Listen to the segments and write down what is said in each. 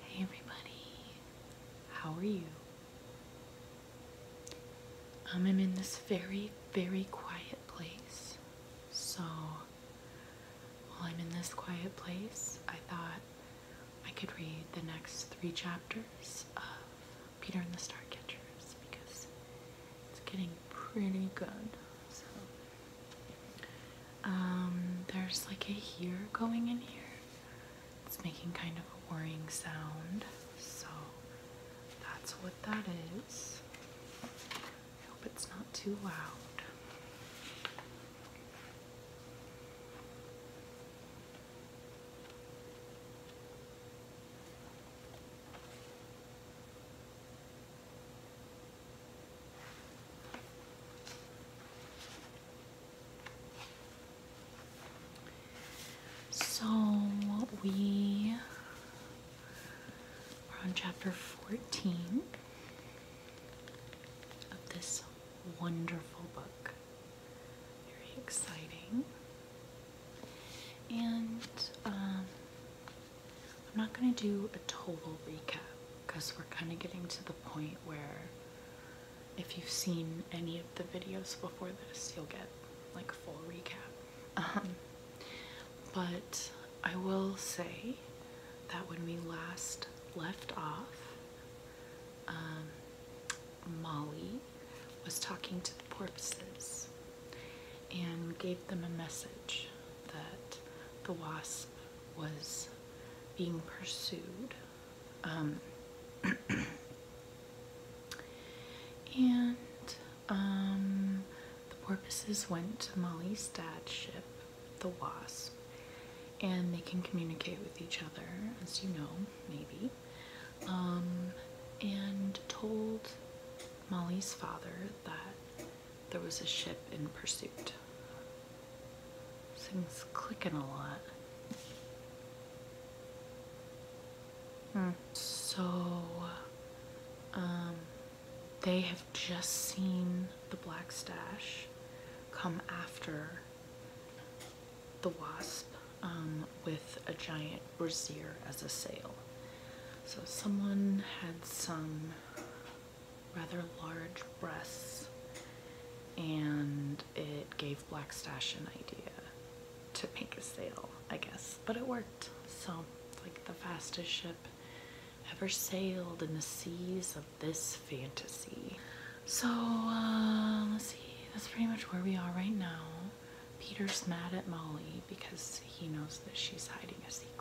Hey everybody, how are you? Um, I'm in this very, very quiet place. So, while I'm in this quiet place, I thought I could read the next three chapters of Peter and the Starcatchers because it's getting pretty good. So, um, there's like a here going in here. It's making kind of a worrying sound. So that's what that is. I hope it's not too loud. So we are on chapter 14 of this wonderful book. Very exciting. And um, I'm not going to do a total recap because we're kind of getting to the point where if you've seen any of the videos before this, you'll get like a full recap. Uh-huh. but I will say that when we last left off, um, Molly was talking to the porpoises and gave them a message that the wasp was being pursued. Um, and um, the porpoises went to Molly's dad's ship, the Wasp, and they can communicate with each other, as you know, maybe, um, and told Molly's father that there was a ship in pursuit thing's clicking a lot. Hmm. So, um, they have just seen the black stash come after the wasp um, with a giant brazier as a sail. So someone had some rather large breasts, and it gave Black an idea to make a sale, I guess. But it worked. So, like the fastest ship ever sailed in the seas of this fantasy. So, uh, let's see. That's pretty much where we are right now. Peter's mad at Molly because he knows that she's hiding a secret.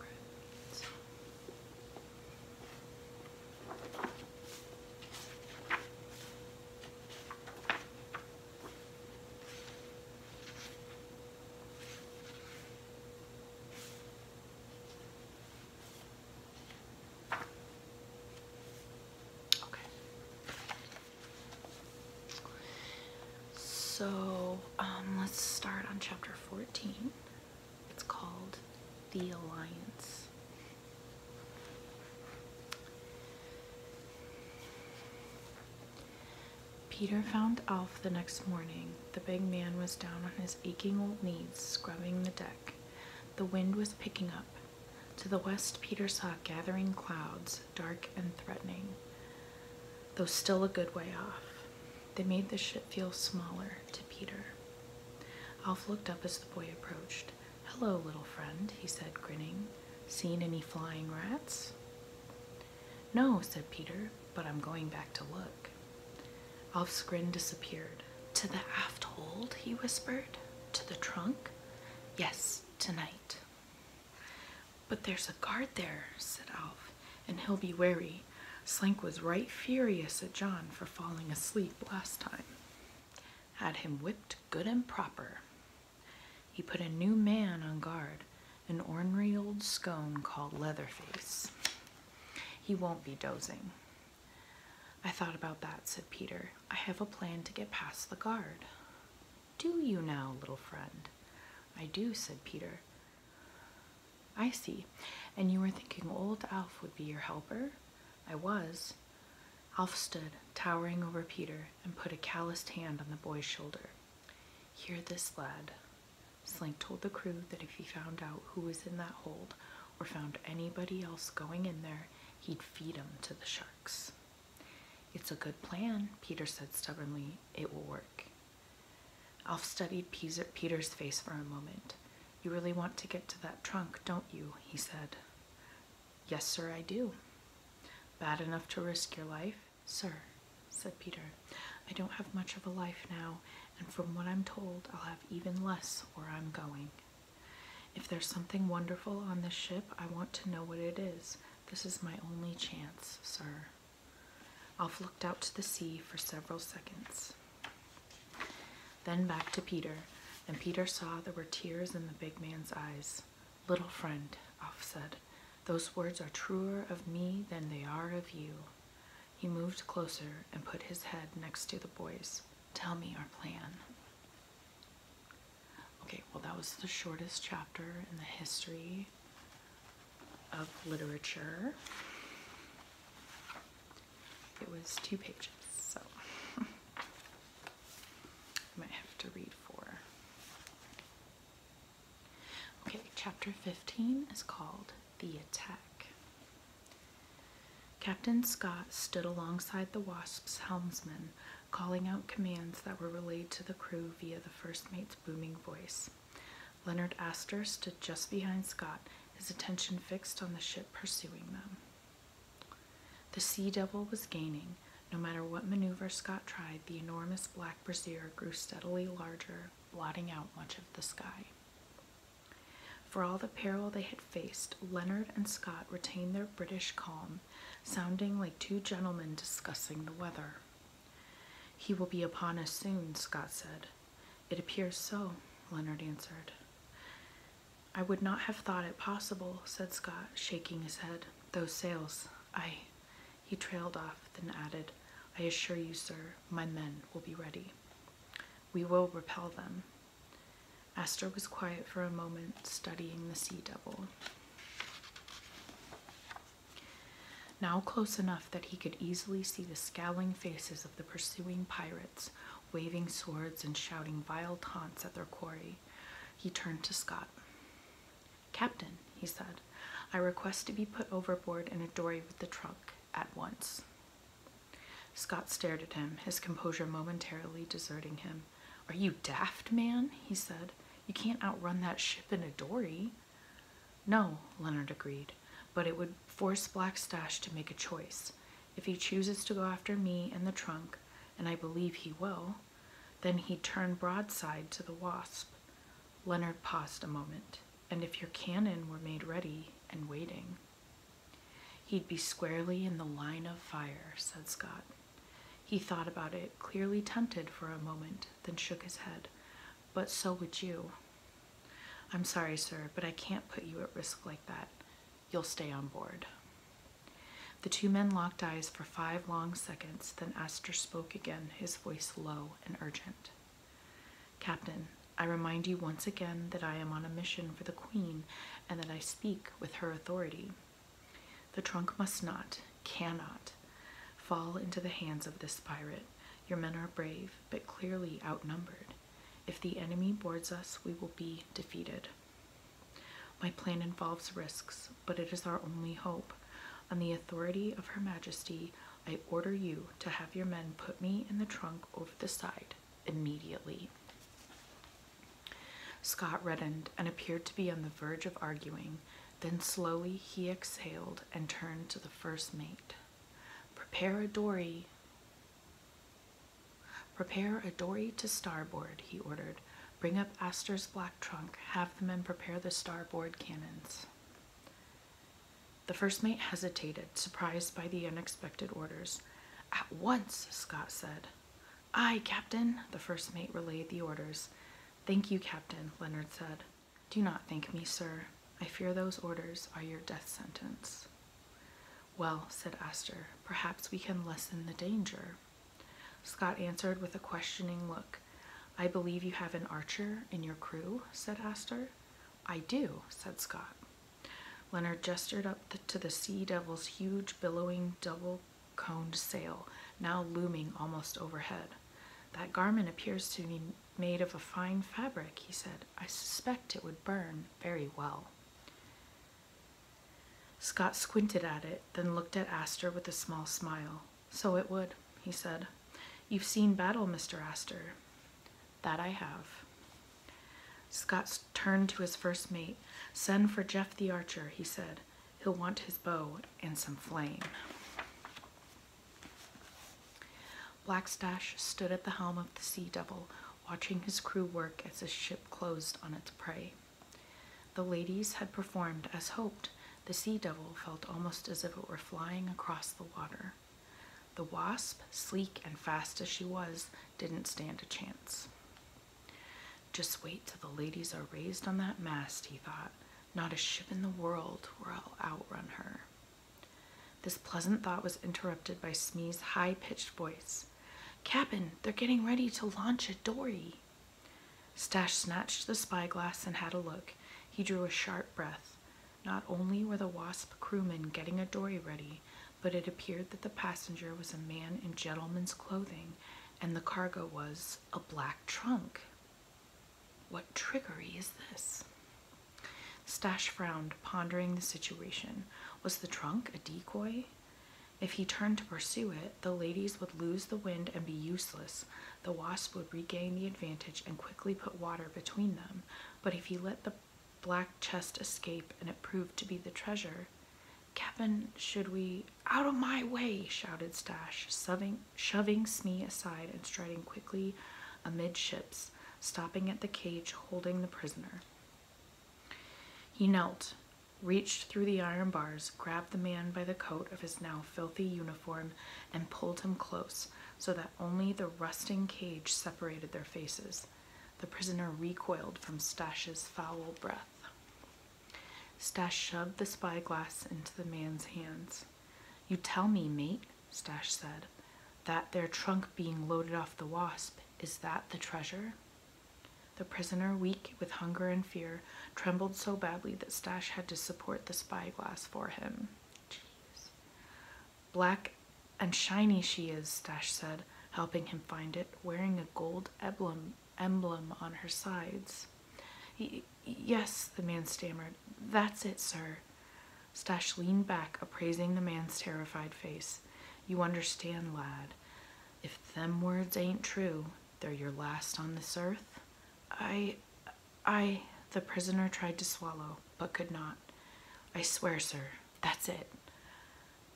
Okay. So um, let's start on chapter 14. It's called The Alliance. Peter found Alf the next morning. The big man was down on his aching old knees, scrubbing the deck. The wind was picking up. To the west, Peter saw gathering clouds, dark and threatening, though still a good way off. They made the ship feel smaller to Peter. Alf looked up as the boy approached. Hello, little friend, he said, grinning. Seen any flying rats? No, said Peter, but I'm going back to look. Alf's grin disappeared. To the aft hold, he whispered. To the trunk? Yes, tonight. But there's a guard there, said Alf, and he'll be wary. Slank was right furious at John for falling asleep last time had him whipped good and proper. He put a new man on guard, an ornery old scone called Leatherface. He won't be dozing. I thought about that, said Peter. I have a plan to get past the guard. Do you now, little friend? I do, said Peter. I see. And you were thinking old Alf would be your helper? I was. Alf stood, towering over Peter, and put a calloused hand on the boy's shoulder. Hear this, lad. Slank told the crew that if he found out who was in that hold, or found anybody else going in there, he'd feed 'em to the sharks. It's a good plan, Peter said stubbornly. It will work. Alf studied Peter's face for a moment. You really want to get to that trunk, don't you? he said. Yes, sir, I do. Bad enough to risk your life? Sir, said Peter, I don't have much of a life now, and from what I'm told, I'll have even less where I'm going. If there's something wonderful on this ship, I want to know what it is. This is my only chance, sir. Alf looked out to the sea for several seconds. Then back to Peter, and Peter saw there were tears in the big man's eyes. Little friend, Alf said, those words are truer of me than they are of you. He moved closer and put his head next to the boy's. Tell me our plan. Okay, well, that was the shortest chapter in the history of literature. It was two pages, so I might have to read four. Okay, chapter 15 is called The Attack. Captain Scott stood alongside the Wasp's helmsman, calling out commands that were relayed to the crew via the first mate's booming voice. Leonard Astor stood just behind Scott, his attention fixed on the ship pursuing them. The Sea Devil was gaining. No matter what maneuver Scott tried, the enormous black brassiere grew steadily larger, blotting out much of the sky. For all the peril they had faced, Leonard and Scott retained their British calm, sounding like two gentlemen discussing the weather. He will be upon us soon, Scott said. It appears so, Leonard answered. I would not have thought it possible, said Scott, shaking his head. Those sails, I. He trailed off, then added, I assure you, sir, my men will be ready. We will repel them. Astor was quiet for a moment, studying the sea devil. Now close enough that he could easily see the scowling faces of the pursuing pirates waving swords and shouting vile taunts at their quarry. He turned to Scott. Captain, he said, I request to be put overboard in a dory with the trunk at once. Scott stared at him, his composure momentarily deserting him. Are you daft, man? he said. You can't outrun that ship in a dory. No, Leonard agreed, but it would force Black Stash to make a choice. If he chooses to go after me and the trunk, and I believe he will, then he'd turn broadside to the wasp. Leonard paused a moment, and if your cannon were made ready and waiting, he'd be squarely in the line of fire, said Scott. He thought about it, clearly tempted for a moment, then shook his head. But so would you. I'm sorry, sir, but I can't put you at risk like that. You'll stay on board. The two men locked eyes for five long seconds, then Astor spoke again, his voice low and urgent. Captain, I remind you once again that I am on a mission for the Queen and that I speak with her authority. The trunk must not, cannot, fall into the hands of this pirate. Your men are brave, but clearly outnumbered. If the enemy boards us, we will be defeated. My plan involves risks, but it is our only hope. On the authority of Her Majesty, I order you to have your men put me in the trunk over the side immediately. Scott reddened and appeared to be on the verge of arguing. Then slowly he exhaled and turned to the first mate. Prepare a dory. Prepare a dory to starboard, he ordered. Bring up Astor's black trunk. Have the men prepare the starboard cannons. The first mate hesitated, surprised by the unexpected orders. At once, Scott said. Aye, Captain, the first mate relayed the orders. Thank you, Captain, Leonard said. Do not thank me, sir. I fear those orders are your death sentence. Well, said Astor, perhaps we can lessen the danger. Scott answered with a questioning look. I believe you have an archer in your crew, said Astor. I do, said Scott. Leonard gestured up to the Sea Devil's huge, billowing, double coned sail, now looming almost overhead. That garment appears to be made of a fine fabric, he said. I suspect it would burn very well. Scott squinted at it, then looked at Astor with a small smile. So it would, he said. You've seen battle, Mr. Astor. That I have. Scott turned to his first mate. Send for Jeff the archer, he said. He'll want his bow and some flame. Blackstash stood at the helm of the Sea Devil, watching his crew work as his ship closed on its prey. The ladies had performed as hoped. The sea devil felt almost as if it were flying across the water. The wasp, sleek and fast as she was, didn't stand a chance. Just wait till the ladies are raised on that mast, he thought. Not a ship in the world will outrun her. This pleasant thought was interrupted by Smee's high pitched voice. Cap'n, they're getting ready to launch a dory. Stash snatched the spyglass and had a look. He drew a sharp breath. Not only were the Wasp crewmen getting a dory ready, but it appeared that the passenger was a man in gentleman's clothing and the cargo was a black trunk. What trickery is this? Stash frowned, pondering the situation. Was the trunk a decoy? If he turned to pursue it, the ladies would lose the wind and be useless. The wasp would regain the advantage and quickly put water between them. But if he let the black chest escape and it proved to be the treasure, Captain, should we? Out of my way! shouted Stash, shoving Smee aside and striding quickly amidships, stopping at the cage holding the prisoner. He knelt, reached through the iron bars, grabbed the man by the coat of his now filthy uniform, and pulled him close so that only the rusting cage separated their faces. The prisoner recoiled from Stash's foul breath. Stash shoved the spyglass into the man's hands. You tell me, mate, Stash said, that their trunk being loaded off the wasp, is that the treasure? The prisoner, weak with hunger and fear, trembled so badly that Stash had to support the spyglass for him. Jeez. Black and shiny she is, Stash said, helping him find it, wearing a gold emblem on her sides. yes, the man stammered. That's it, sir. Stash leaned back, appraising the man's terrified face. You understand, lad if them words ain't true, they're your last on this earth. I, I, the prisoner tried to swallow, but could not. I swear, sir, that's it.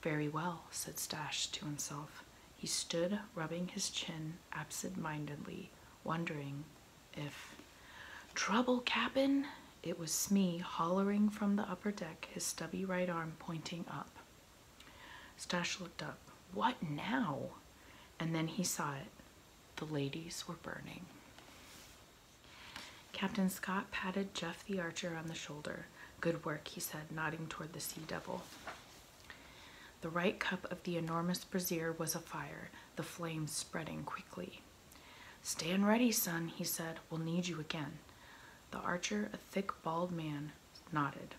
Very well, said Stash to himself. He stood rubbing his chin absent-mindedly, wondering if... Trouble, Cap'n? It was Smee hollering from the upper deck, his stubby right arm pointing up. Stash looked up. What now? And then he saw it. The ladies were burning. Captain Scott patted Jeff the archer on the shoulder. Good work, he said, nodding toward the sea devil. The right cup of the enormous brazier was afire, the flames spreading quickly. Stand ready, son, he said. We'll need you again. The archer, a thick, bald man, nodded.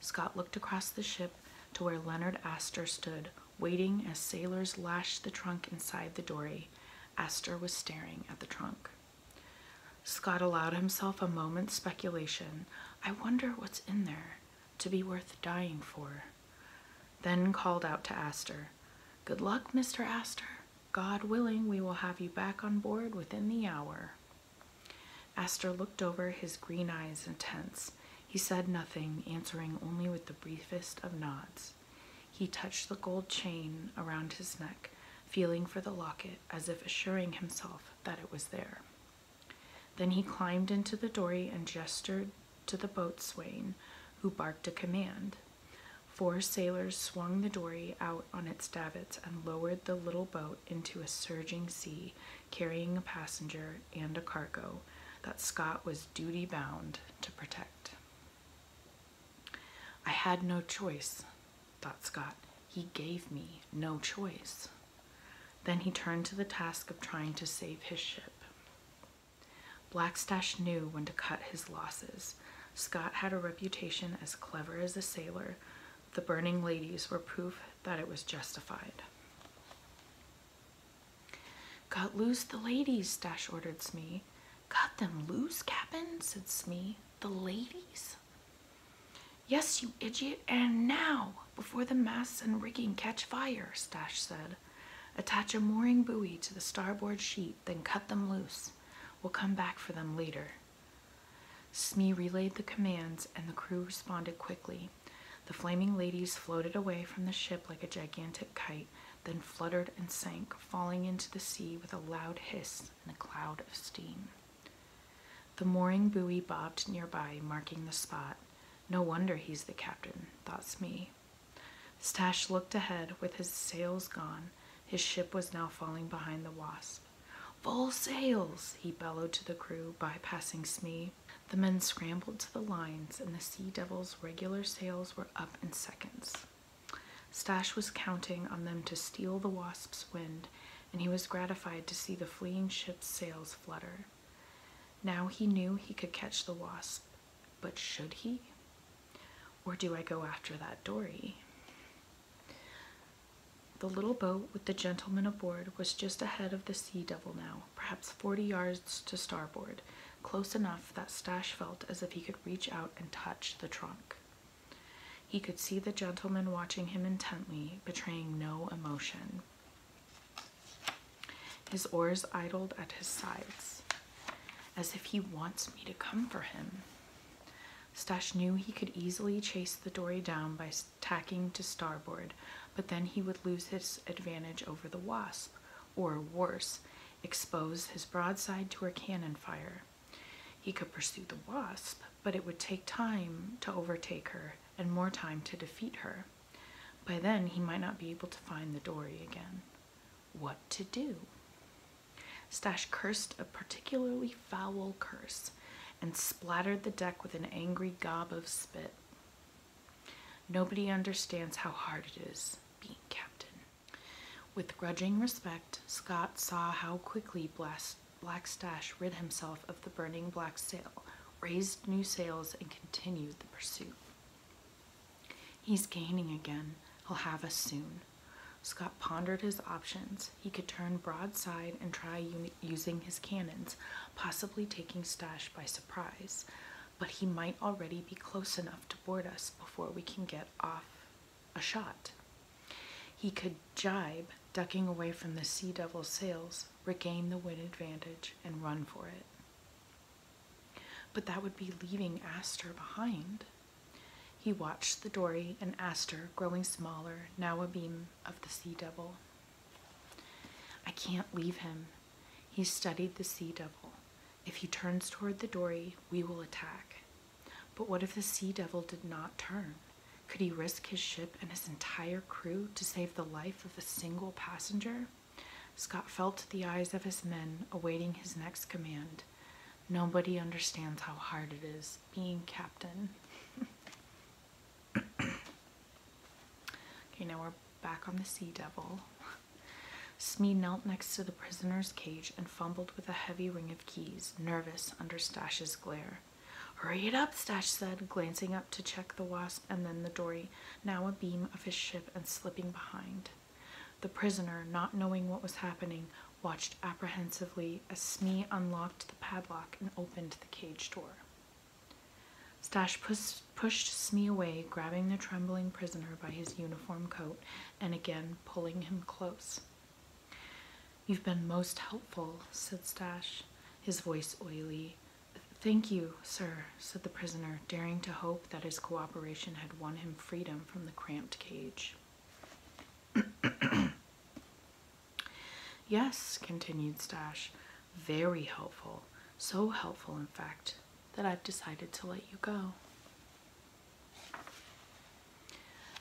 Scott looked across the ship to where Leonard Astor stood, waiting as sailors lashed the trunk inside the dory. Astor was staring at the trunk. Scott allowed himself a moment's speculation. I wonder what's in there to be worth dying for. Then called out to Astor, Good luck, Mr. Astor. God willing, we will have you back on board within the hour. Astor looked over, his green eyes intense. He said nothing, answering only with the briefest of nods. He touched the gold chain around his neck, feeling for the locket as if assuring himself that it was there. Then he climbed into the dory and gestured to the boatswain, who barked a command. Four sailors swung the dory out on its davits and lowered the little boat into a surging sea, carrying a passenger and a cargo that Scott was duty bound to protect. I had no choice, thought Scott. He gave me no choice. Then he turned to the task of trying to save his ship. Blackstash knew when to cut his losses. Scott had a reputation as clever as a sailor. The burning ladies were proof that it was justified. Cut loose the ladies, Stash ordered Smee. Cut them loose, Cap'n, said Smee. The ladies? Yes, you idiot, and now, before the masts and rigging catch fire, Stash said. Attach a mooring buoy to the starboard sheet, then cut them loose. We'll come back for them later. Smee relayed the commands, and the crew responded quickly. The flaming ladies floated away from the ship like a gigantic kite, then fluttered and sank, falling into the sea with a loud hiss and a cloud of steam. The mooring buoy bobbed nearby, marking the spot. No wonder he's the captain, thought Smee. Stash looked ahead with his sails gone. His ship was now falling behind the wasp. Full sails, he bellowed to the crew, bypassing Smee. The men scrambled to the lines, and the Sea Devil's regular sails were up in seconds. Stash was counting on them to steal the Wasp's wind, and he was gratified to see the fleeing ship's sails flutter. Now he knew he could catch the Wasp, but should he? Or do I go after that dory? The little boat with the gentleman aboard was just ahead of the Sea Devil now, perhaps forty yards to starboard, close enough that Stash felt as if he could reach out and touch the trunk. He could see the gentleman watching him intently, betraying no emotion. His oars idled at his sides, as if he wants me to come for him, Stash knew he could easily chase the dory down by tacking to starboard, but then he would lose his advantage over the Wasp, or worse, expose his broadside to her cannon fire. He could pursue the Wasp, but it would take time to overtake her and more time to defeat her. By then, he might not be able to find the dory again. What to do? Stash cursed a particularly foul curse and splattered the deck with an angry gob of spit. Nobody understands how hard it is being captain. With grudging respect, Scott saw how quickly Black Stash rid himself of the burning black sail, raised new sails, and continued the pursuit. He's gaining again. He'll have us soon. Scott pondered his options. He could turn broadside and try using his cannons, possibly taking Stash by surprise, but he might already be close enough to board us before we can get off a shot. He could jibe, ducking away from the Sea Devil's sails, regain the wind advantage, and run for it. But that would be leaving Astor behind. He watched the dory and aster growing smaller, now a beam of the sea devil. I can't leave him. He studied the sea devil. If he turns toward the dory, we will attack. But what if the sea devil did not turn? Could he risk his ship and his entire crew to save the life of a single passenger? Scott felt the eyes of his men awaiting his next command. Nobody understands how hard it is being captain. okay, now we're back on the Sea Devil. Smee knelt next to the prisoner's cage and fumbled with a heavy ring of keys, nervous under Stash's glare. Hurry it up, Stash said, glancing up to check the wasp and then the dory, now a beam of his ship and slipping behind. The prisoner, not knowing what was happening, watched apprehensively as Smee unlocked the padlock and opened the cage door. Stash pushed Smee away, grabbing the trembling prisoner by his uniform coat and again pulling him close. You've been most helpful, said Stash, his voice oily. Thank you, sir, said the prisoner, daring to hope that his cooperation had won him freedom from the cramped cage. Yes, continued Stash, very helpful. So helpful, in fact, that I've decided to let you go.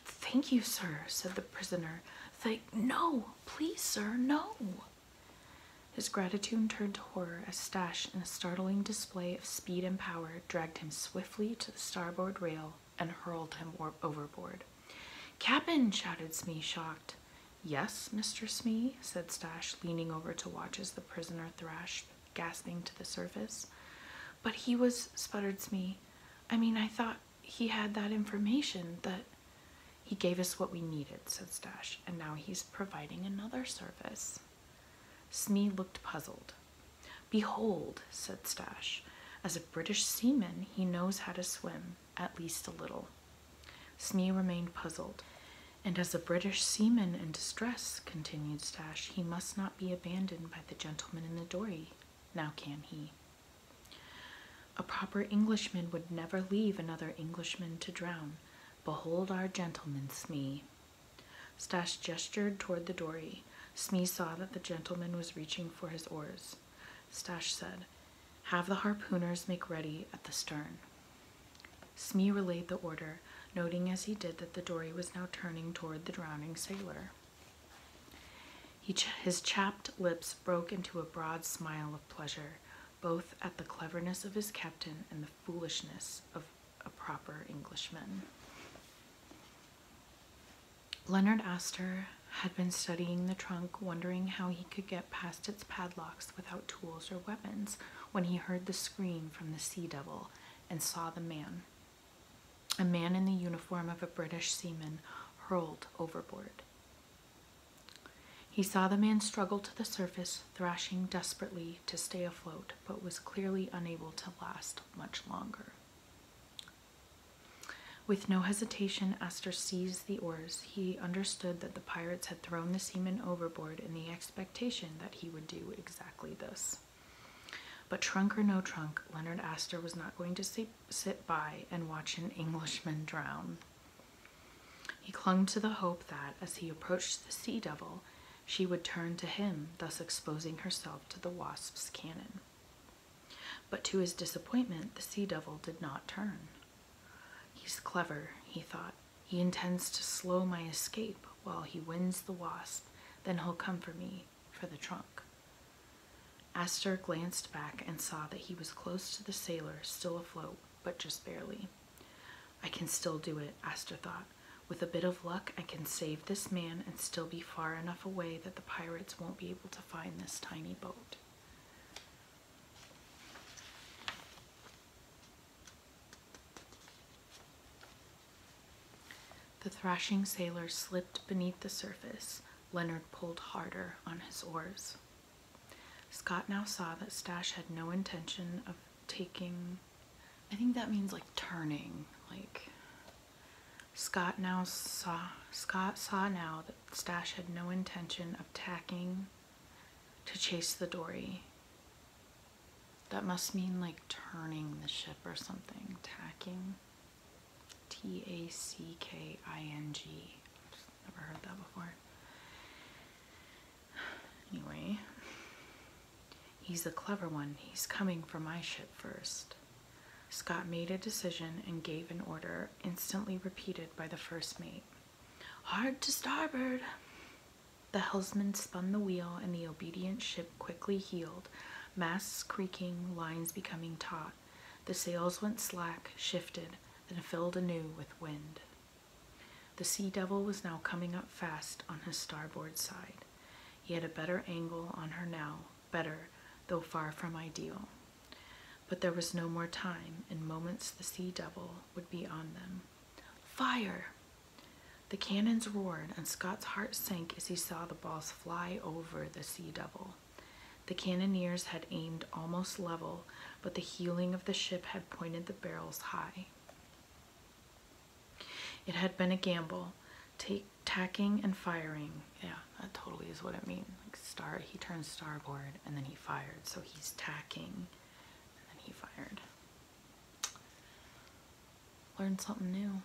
Thank you, sir, said the prisoner. Thank, no, please, sir, no. His gratitude turned to horror as Stash, in a startling display of speed and power, dragged him swiftly to the starboard rail and hurled him overboard. Cap'n, shouted Smee, shocked. Yes, Mr. Smee, said Stash, leaning over to watch as the prisoner thrashed, gasping to the surface. But he was, sputtered Smee. I mean, I thought he had that information that he gave us what we needed, said Stash, and now he's providing another service. Smee looked puzzled. Behold, said Stash, as a British seaman, he knows how to swim, at least a little. Smee remained puzzled. And as a British seaman in distress, continued Stash, he must not be abandoned by the gentleman in the dory. Now can he? A proper Englishman would never leave another Englishman to drown. Behold our gentleman, Smee. Stash gestured toward the dory. Smee saw that the gentleman was reaching for his oars. Stash said, Have the harpooners make ready at the stern. Smee relayed the order, noting as he did that the dory was now turning toward the drowning sailor. He his chapped lips broke into a broad smile of pleasure, both at the cleverness of his captain and the foolishness of a proper Englishman. Leonard Astor had been studying the trunk, wondering how he could get past its padlocks without tools or weapons, when he heard the scream from the sea devil and saw the man. A man in the uniform of a British seaman hurled overboard. He saw the man struggle to the surface, thrashing desperately to stay afloat, but was clearly unable to last much longer. With no hesitation, Astor seized the oars. He understood that the pirates had thrown the seaman overboard in the expectation that he would do exactly this. But trunk or no trunk, Leonard Astor was not going to sit by and watch an Englishman drown. He clung to the hope that, as he approached the sea devil, she would turn to him, thus exposing herself to the wasp's cannon. But to his disappointment, the sea devil did not turn. He's clever, he thought. He intends to slow my escape while he wins the wasp, then he'll come for me, for the trunk. Astor glanced back and saw that he was close to the sailor, still afloat, but just barely. I can still do it, Astor thought. With a bit of luck, I can save this man and still be far enough away that the pirates won't be able to find this tiny boat. The thrashing sailor slipped beneath the surface. Leonard pulled harder on his oars. Scott now saw that Stash had no intention of taking. I think that means like turning, like Scott now saw Scott saw now that Stash had no intention of tacking to chase the dory. That must mean like turning the ship or something. Tacking. T A C K I N G. Never heard that before. Anyway, he's a clever one. He's coming for my ship first. Scott made a decision and gave an order, instantly repeated by the first mate. Hard to starboard! The helmsman spun the wheel and the obedient ship quickly heeled, masts creaking, lines becoming taut. The sails went slack, shifted, then filled anew with wind. The Sea Devil was now coming up fast on his starboard side. He had a better angle on her now, better, though far from ideal. But there was no more time. In moments, the sea devil would be on them. Fire! The cannons roared, and Scott's heart sank as he saw the balls fly over the sea devil. The cannoneers had aimed almost level, but the heeling of the ship had pointed the barrels high. It had been a gamble, tacking and firing, yeah, that totally is what it means. Like star, he turned starboard and then he fired. So he's tacking and then he fired. Learned something new.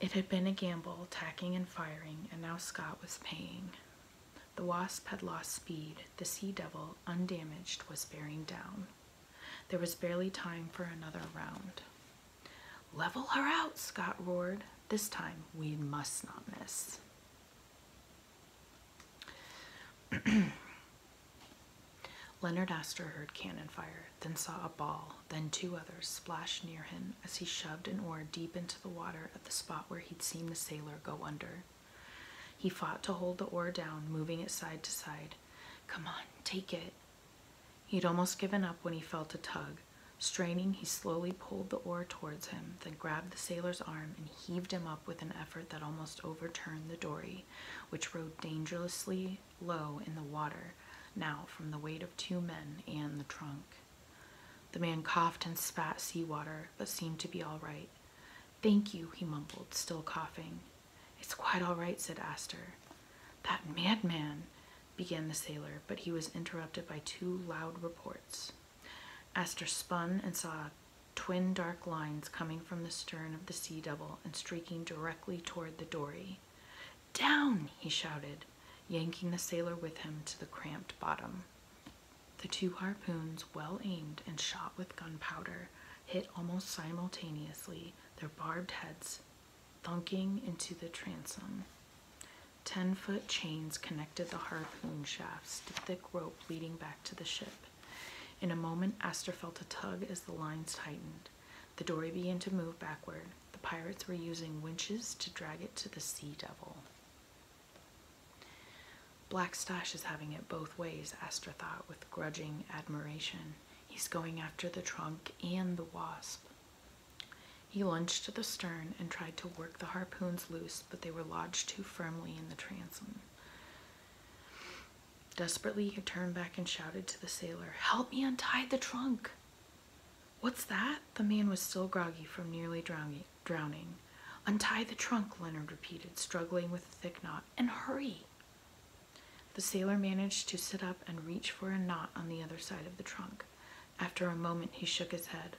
It had been a gamble, tacking and firing, and now Scott was paying. The Wasp had lost speed. The Sea Devil, undamaged, was bearing down. There was barely time for another round. Level her out, Scott roared. This time we must not miss. Leonard Astor heard cannon fire, then saw a ball, then two others splash near him as he shoved an oar deep into the water at the spot where he'd seen the sailor go under. He fought to hold the oar down, moving it side to side. Come on, take it. He'd almost given up when he felt a tug, Straining, he slowly pulled the oar towards him, then grabbed the sailor's arm and heaved him up with an effort that almost overturned the dory, which rode dangerously low in the water now from the weight of two men and the trunk. The man coughed and spat sea water, but seemed to be all right. Thank you, he mumbled, still coughing. It's quite all right, said Astor. That madman! began the sailor, but he was interrupted by two loud reports. Astor spun and saw twin dark lines coming from the stern of the Sea Devil and streaking directly toward the dory. Down, he shouted, yanking the sailor with him to the cramped bottom. The two harpoons, well aimed and shot with gunpowder, hit almost simultaneously, their barbed heads thunking into the transom. Ten foot chains connected the harpoon shafts to thick rope leading back to the ship. In a moment, Astor felt a tug as the lines tightened. The dory began to move backward. The pirates were using winches to drag it to the Sea Devil. Black Stash is having it both ways, Astor thought with grudging admiration. He's going after the trunk and the wasp. He lunged to the stern and tried to work the harpoons loose, but they were lodged too firmly in the transom. Desperately, he turned back and shouted to the sailor, Help me untie the trunk! What's that? The man was still groggy from nearly drowning. Untie the trunk, Leonard repeated, struggling with a thick knot, and hurry! The sailor managed to sit up and reach for a knot on the other side of the trunk. After a moment, he shook his head.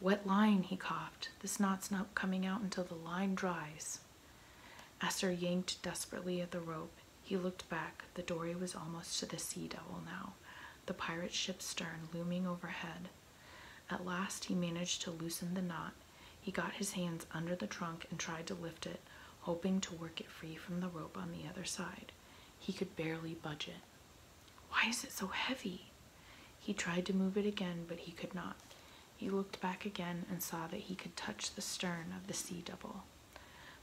Wet line, he coughed. This knot's not coming out until the line dries. Esther yanked desperately at the rope. He looked back. The dory was almost to the sea devil now, the pirate ship's stern looming overhead. At last, he managed to loosen the knot. He got his hands under the trunk and tried to lift it, hoping to work it free from the rope on the other side. He could barely budge it. Why is it so heavy? He tried to move it again, but he could not. He looked back again and saw that he could touch the stern of the Sea devil.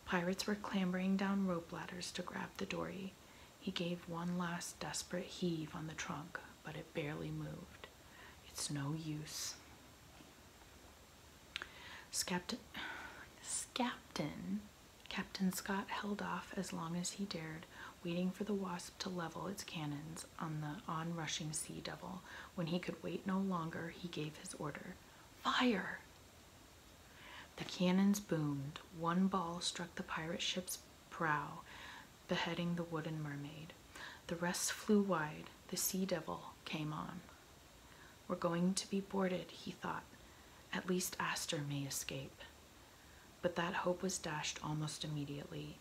Pirates were clambering down rope ladders to grab the dory. He gave one last desperate heave on the trunk, but it barely moved. It's no use. Scapton, Scapton Captain Scott held off as long as he dared, waiting for the Wasp to level its cannons on the onrushing Sea Devil. When he could wait no longer, he gave his order Fire! The cannons boomed. One ball struck the pirate ship's prow, beheading the wooden mermaid. The rest flew wide. The Sea Devil came on. We're going to be boarded, he thought. At least Astor may escape but that hope was dashed almost immediately.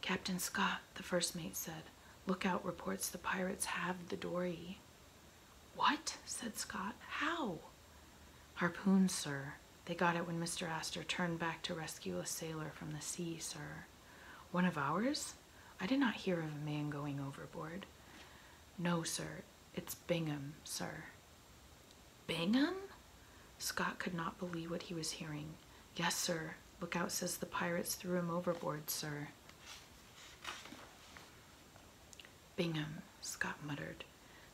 Captain Scott, the first mate said, "Lookout! reports the pirates have the dory. What? said Scott. How? Harpoons, sir. They got it when Mr. Astor turned back to rescue a sailor from the sea, sir. One of ours? I did not hear of a man going overboard. No, sir. It's Bingham, sir. Bingham? Scott could not believe what he was hearing. Yes, sir. Lookout says the pirates threw him overboard, sir. Bingham, Scott muttered.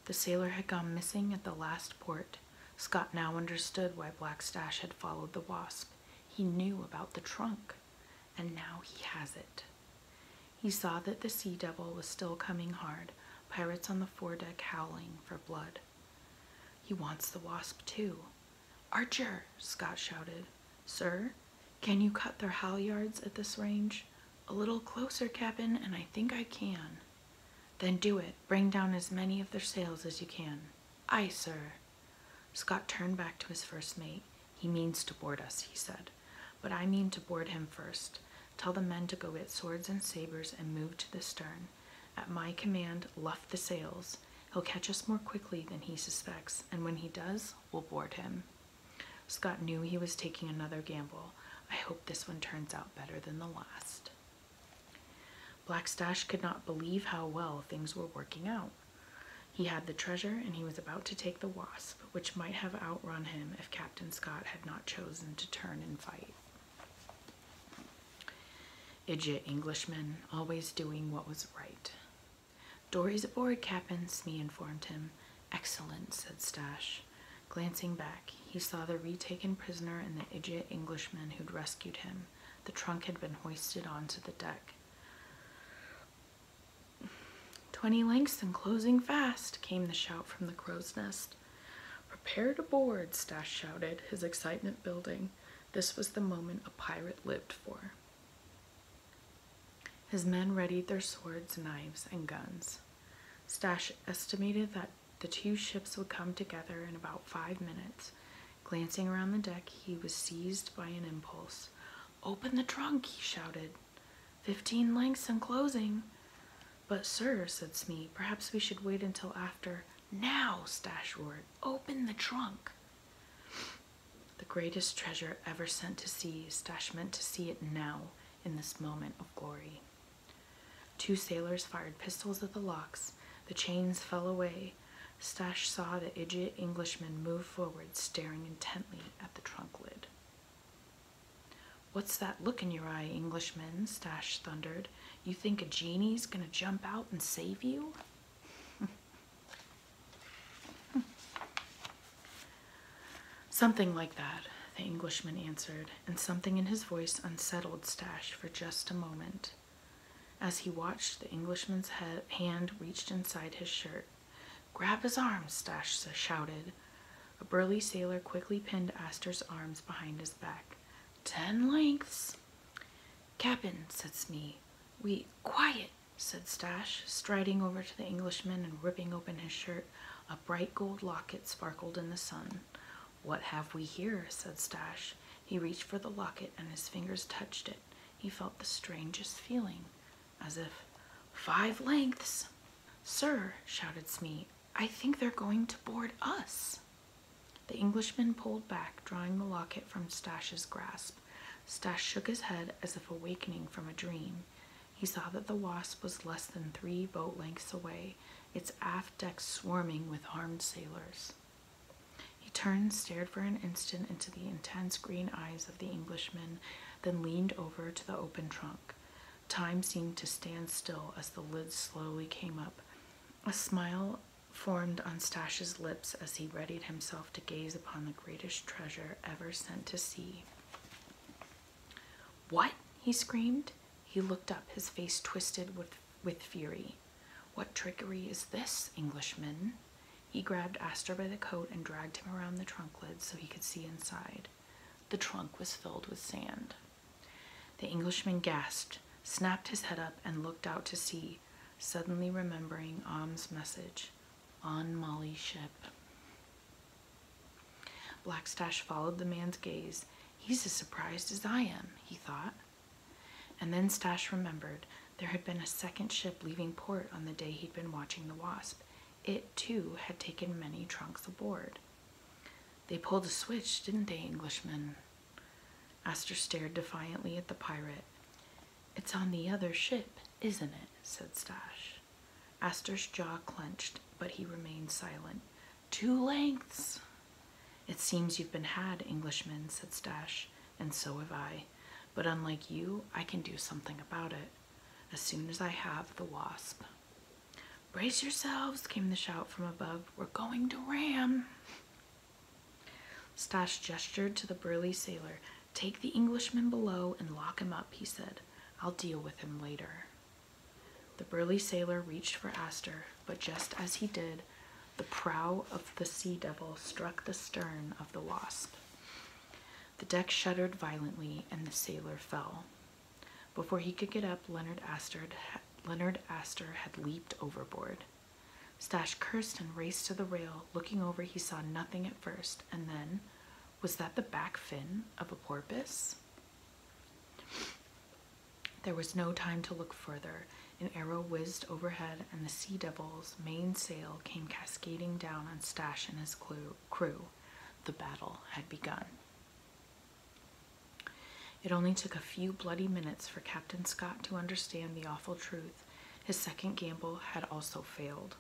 The sailor had gone missing at the last port. Scott now understood why Black Stash had followed the wasp. He knew about the trunk, and now he has it. He saw that the sea devil was still coming hard pirates on the foredeck howling for blood. He wants the wasp too. Archer, Scott shouted. Sir, can you cut their halyards at this range? A little closer, captain, and I think I can. Then do it. Bring down as many of their sails as you can. Aye, sir. Scott turned back to his first mate. He means to board us, he said, but I mean to board him first. Tell the men to go get swords and sabers and move to the stern. At my command, luff the sails. He'll catch us more quickly than he suspects, and when he does, we'll board him. Scott knew he was taking another gamble. I hope this one turns out better than the last. Blackstash could not believe how well things were working out. He had the treasure and he was about to take the wasp, which might have outrun him if Captain Scott had not chosen to turn and fight. Idiot Englishman, always doing what was right. Dory's aboard, Captain, Sme informed him. Excellent, said Stash. Glancing back, he saw the retaken prisoner and the idiot Englishman who'd rescued him. The trunk had been hoisted onto the deck. Twenty lengths and closing fast, came the shout from the crow's nest. Prepare to board, Stash shouted, his excitement building. This was the moment a pirate lived for. His men readied their swords, knives, and guns. Stash estimated that the two ships would come together in about five minutes. Glancing around the deck, he was seized by an impulse. Open the trunk, he shouted. Fifteen lengths and closing. But, sir, said Smee, perhaps we should wait until after. Now, Stash roared, open the trunk. The greatest treasure ever sent to sea, Stash meant to see it now, in this moment of glory. Two sailors fired pistols at the locks. The chains fell away. Stash saw the idiot Englishman move forward, staring intently at the trunk lid. What's that look in your eye, Englishman? Stash thundered. You think a genie's gonna jump out and save you? something like that, the Englishman answered, and something in his voice unsettled Stash for just a moment. As he watched, the Englishman's hand reached inside his shirt. Grab his arm, Stash shouted. A burly sailor quickly pinned Astor's arms behind his back. Ten lengths. Cap'n, said Smee. We quiet, said Stash, striding over to the Englishman and ripping open his shirt. A bright gold locket sparkled in the sun. What have we here? said Stash. He reached for the locket and his fingers touched it. He felt the strangest feeling, as if five lengths. Sir, shouted Smee, I think they're going to board us. The Englishman pulled back, drawing the locket from Stash's grasp. Stash shook his head as if awakening from a dream. He saw that the Wasp was less than three boat lengths away, its aft deck swarming with armed sailors. He turned, stared for an instant into the intense green eyes of the Englishman, then leaned over to the open trunk. Time seemed to stand still as the lid slowly came up. A smile formed on Stash's lips as he readied himself to gaze upon the greatest treasure ever sent to sea. What? he screamed. He looked up, his face twisted with, with fury. What trickery is this, Englishman? He grabbed Astor by the coat and dragged him around the trunk lid so he could see inside. The trunk was filled with sand. The Englishman gasped, snapped his head up, and looked out to sea, suddenly remembering Ahm's message on Molly's ship. Blackstash followed the man's gaze. He's as surprised as I am, he thought. And then Stash remembered there had been a second ship leaving port on the day he'd been watching the Wasp. It, too, had taken many trunks aboard. They pulled a switch, didn't they, Englishman? Astor stared defiantly at the pirate. It's on the other ship, isn't it? said Stash. Astor's jaw clenched, but he remained silent. Two lengths! It seems you've been had, Englishman, said Stash, and so have I. But unlike you, I can do something about it. As soon as I have the wasp. Brace yourselves, came the shout from above. We're going to ram. Stash gestured to the burly sailor. Take the Englishman below and lock him up, he said. I'll deal with him later. The burly sailor reached for Astor, but just as he did, the prow of the Sea Devil struck the stern of the Wasp. The deck shuddered violently and the sailor fell. Before he could get up, Leonard Astor, Leonard Astor had leaped overboard. Stash cursed and raced to the rail. Looking over, he saw nothing at first, and then was that the back fin of a porpoise? There was no time to look further. An arrow whizzed overhead, and the Sea Devil's mainsail came cascading down on Stash and his crew. The battle had begun. It only took a few bloody minutes for Captain Scott to understand the awful truth. His second gamble had also failed.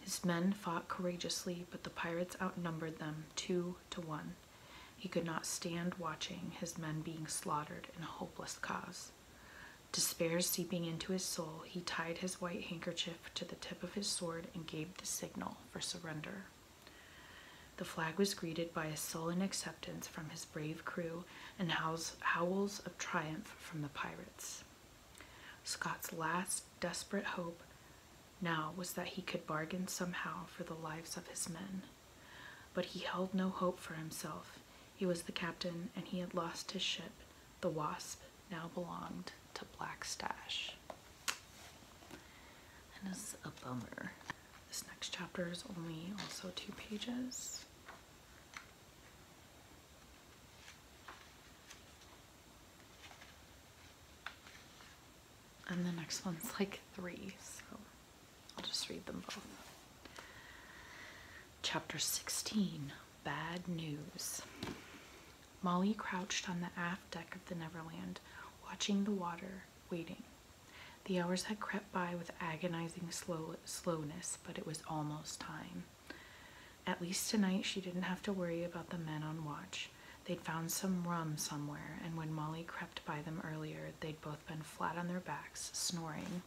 His men fought courageously, but the pirates outnumbered them two to one. He could not stand watching his men being slaughtered in a hopeless cause. Despair seeping into his soul, he tied his white handkerchief to the tip of his sword and gave the signal for surrender. The flag was greeted by a sullen acceptance from his brave crew and howls of triumph from the pirates. Scott's last desperate hope now was that he could bargain somehow for the lives of his men. But he held no hope for himself. He was the captain and he had lost his ship. The Wasp now belonged to Black Stash. And it's a bummer. This next chapter is only also two pages. And the next one's like three, so I'll just read them both. Chapter 16 Bad News. Molly crouched on the aft deck of the Neverland, watching the water, waiting. The hours had crept by with agonizing slow slowness, but it was almost time. At least tonight she didn't have to worry about the men on watch. They'd found some rum somewhere, and when Molly crept by them earlier, they'd both been flat on their backs, snoring.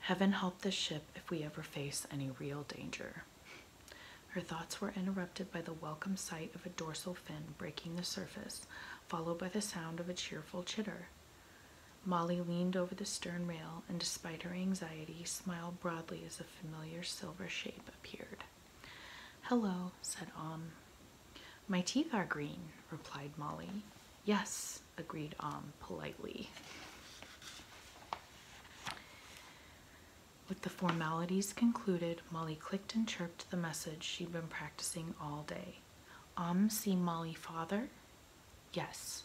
Heaven help the ship if we ever face any real danger. Her thoughts were interrupted by the welcome sight of a dorsal fin breaking the surface followed by the sound of a cheerful chitter. Molly leaned over the stern rail and, despite her anxiety, smiled broadly as a familiar silver shape appeared. Hello, said Om. My teeth are green, replied Molly. Yes, agreed Om politely. With the formalities concluded, Molly clicked and chirped the message she'd been practicing practicing all day. Um, see Molly father? Yes.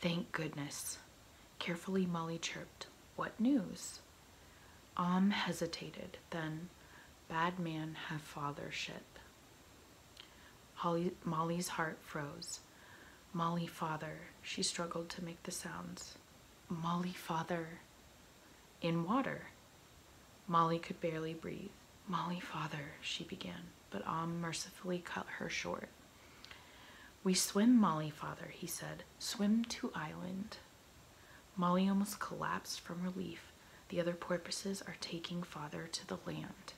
Thank goodness. Carefully, Molly chirped. What news? Om um, hesitated, then, bad man have fathership. Holly, Molly's heart froze. Molly father, she struggled to make the sounds. Molly father in water. Molly could barely breathe. Molly, father, she began, but Om ah mercifully cut her short. We swim, Molly, father, he said. Swim to island. Molly almost collapsed from relief. The other porpoises are taking father to the land.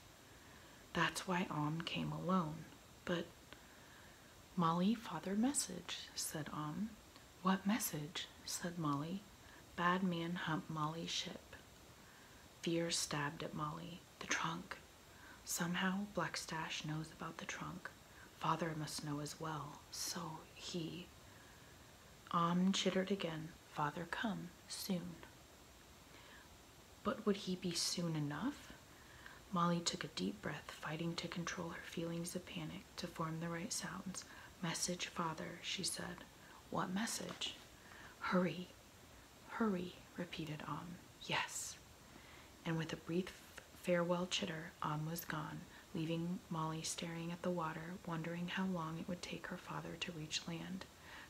That's why Om came alone. But Molly, father message, said Om. What message? said Molly. Bad man humped Molly's ship. Fear stabbed at Molly. The trunk. Somehow Blackstash knows about the trunk. Father must know as well. So he. Om chittered again. Father come soon. But would he be soon enough? Molly took a deep breath, fighting to control her feelings of panic to form the right sounds. Message, father, she said. What message? Hurry, hurry, repeated Om. Yes. And with a brief farewell chitter, Om was gone, leaving Molly staring at the water, wondering how long it would take her father to reach land,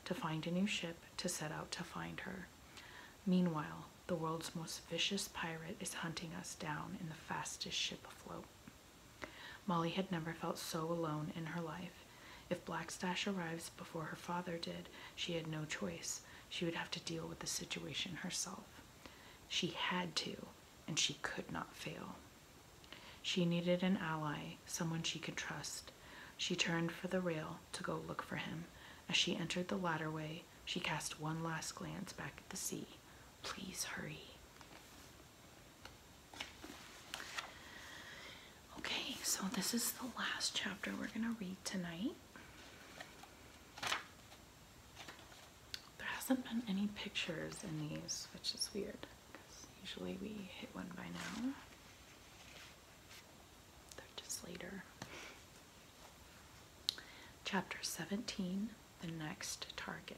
to find a new ship, to set out to find her. Meanwhile, the world's most vicious pirate is hunting us down in the fastest ship afloat. Molly had never felt so alone in her life. If Blackstash arrives before her father did, she had no choice. She would have to deal with the situation herself. She had to, and she could not fail. She needed an ally, someone she could trust. She turned for the rail to go look for him. As she entered the ladderway, she cast one last glance back at the sea. Please hurry. Okay, so this is the last chapter we're going to read tonight. There hasn't been any pictures in these, which is weird because usually we hit one by now. They're just later. Chapter 17 The Next Target.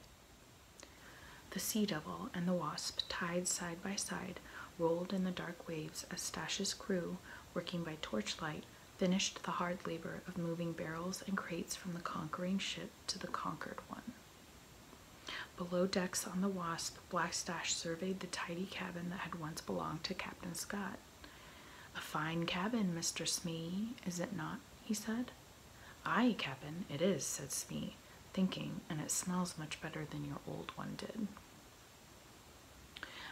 The sea devil and the wasp, tied side by side, rolled in the dark waves as Stash's crew, working by torchlight, finished the hard labor of moving barrels and crates from the conquering ship to the conquered one. Below decks on the Wasp, Black Stash surveyed the tidy cabin that had once belonged to Captain Scott. A fine cabin, Mr. Smee, is it not? he said. Aye, Cap'n, it is, said Smee, thinking, and it smells much better than your old one did.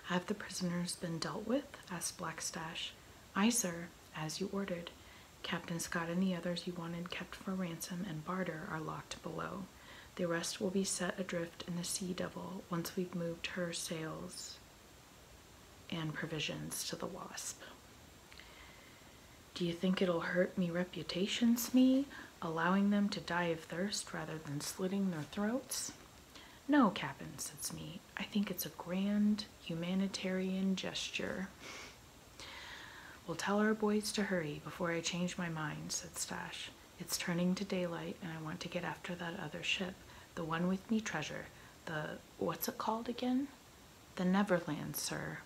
Have the prisoners been dealt with? asked Blackstash. Aye, sir, as you ordered. Captain Scott and the others you wanted kept for ransom and barter are locked below. The rest will be set adrift in the Sea Devil once we've moved her sails and provisions to the Wasp. Do you think it'll hurt me reputations, Smee, allowing them to die of thirst rather than slitting their throats? No, Cap'n, said Smee. I think it's a grand humanitarian gesture. We'll tell our boys to hurry before I change my mind, said Stash. It's turning to daylight, and I want to get after that other ship, the one with me treasure, the what's it called again? The Neverland, sir.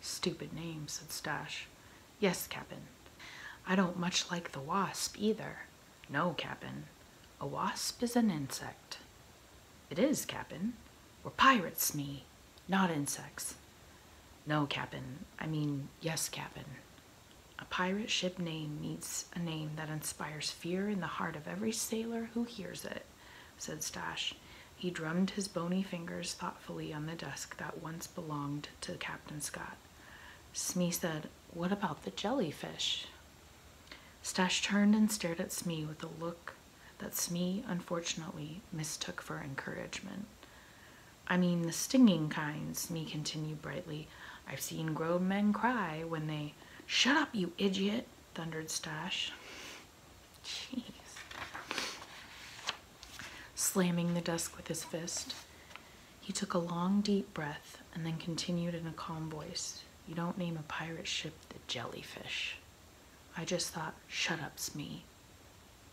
Stupid name, said Stash. Yes, Cap'n. I don't much like the wasp either. No, Cap'n. A wasp is an insect. It is, Cap'n. We're pirates, me, not insects. No, Cap'n. I mean, yes, Cap'n. A pirate ship name needs a name that inspires fear in the heart of every sailor who hears it said Stash. He drummed his bony fingers thoughtfully on the desk that once belonged to Captain Scott. Smee said, What about the jellyfish? Stash turned and stared at Smee with a look that Smee, unfortunately, mistook for encouragement. I mean, the stinging kinds," Smee continued brightly. I've seen grown men cry when they, Shut up, you idiot! thundered Stash. Jeez. Slamming the desk with his fist, he took a long, deep breath and then continued in a calm voice. You don't name a pirate ship the jellyfish. I just thought, shut up's me.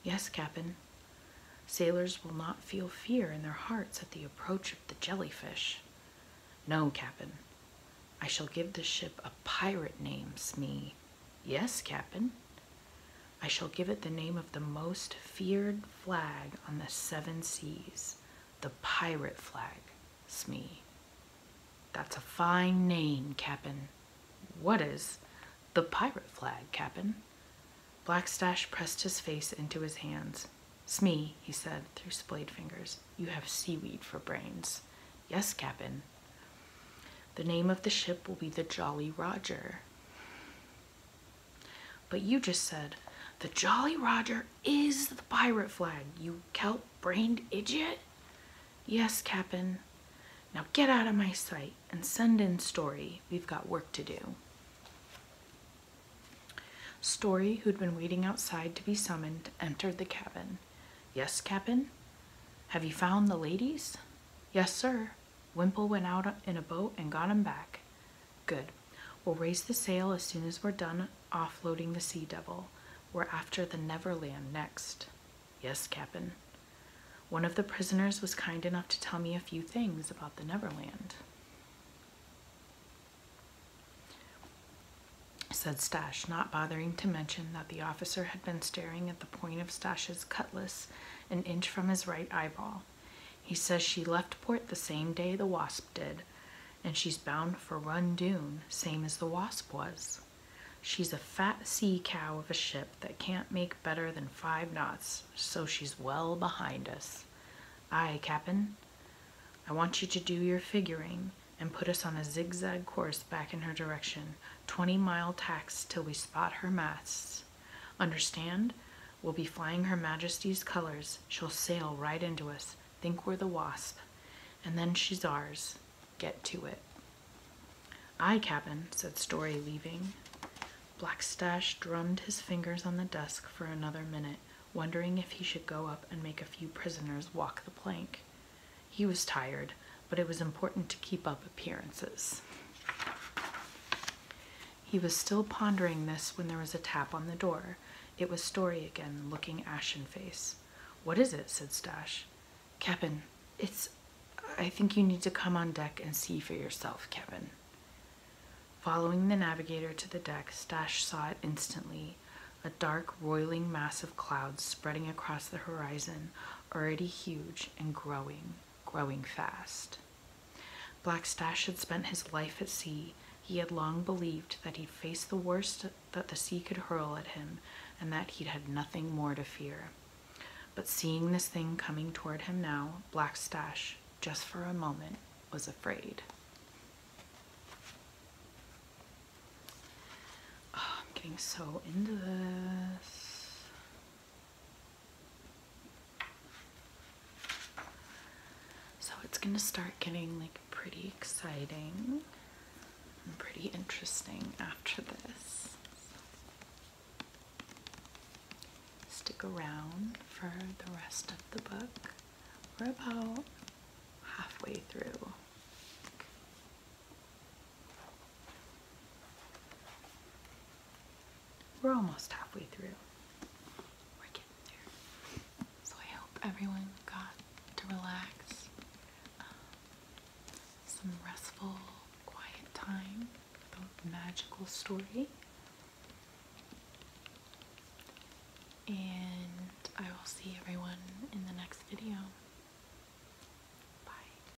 Yes, Cap'n. Sailors will not feel fear in their hearts at the approach of the jellyfish. No, Cap'n. I shall give the ship a pirate name, Smee. Yes, Captain. I shall give it the name of the most feared flag on the seven seas, the pirate flag, Smee. That's a fine name, Cap'n. What is the pirate flag, Cap'n? Blackstash pressed his face into his hands. Smee, he said through splayed fingers, you have seaweed for brains. Yes, Cap'n. The name of the ship will be the Jolly Roger. But you just said, the Jolly Roger is the pirate flag, you kelp-brained idiot. Yes, Cap'n. Now get out of my sight and send in Story. We've got work to do. Story, who'd been waiting outside to be summoned, entered the cabin. Yes, Cap'n. Have you found the ladies? Yes, sir. Wimple went out in a boat and got him back. Good. We'll raise the sail as soon as we're done offloading the Sea Devil. We're after the Neverland next. Yes, Cap'n. One of the prisoners was kind enough to tell me a few things about the Neverland. said Stash, not bothering to mention that the officer had been staring at the point of Stash's cutlass an inch from his right eyeball. He says she left port the same day the Wasp did, and she's bound for Rundoon, same as the Wasp was. She's a fat sea cow of a ship that can't make better than five knots, so she's well behind us. Ay, Cap'n. I want you to do your figuring and put us on a zigzag course back in her direction, 20 mile tacks till we spot her masts. Understand? We'll be flying Her Majesty's colors. She'll sail right into us. Think we're the Wasp. And then she's ours. Get to it. Aye, Cap'n, said Story, leaving. Blackstash drummed his fingers on the desk for another minute, wondering if he should go up and make a few prisoners walk the plank. He was tired, but it was important to keep up appearances. He was still pondering this when there was a tap on the door. It was Story again, looking ashen "What What is it? said Stash. Kevin, it's. I think you need to come on deck and see for yourself, Kevin. Following the navigator to the deck, Stash saw it instantly a dark, roiling mass of clouds spreading across the horizon, already huge and growing growing fast. Black Stash had spent his life at sea. He had long believed that he'd faced the worst that the sea could hurl at him and that he'd had nothing more to fear. But seeing this thing coming toward him now, Black Stash, just for a moment, was afraid. Ah, I'm getting so into this. So it's going to start getting like pretty exciting and pretty interesting after this. Stick around for the rest of the book. We're about halfway through. We're almost halfway through. We're getting there. So I hope everyone got to relax. Um, some restful, quiet time with magical story. And I will see everyone in the next video. Bye.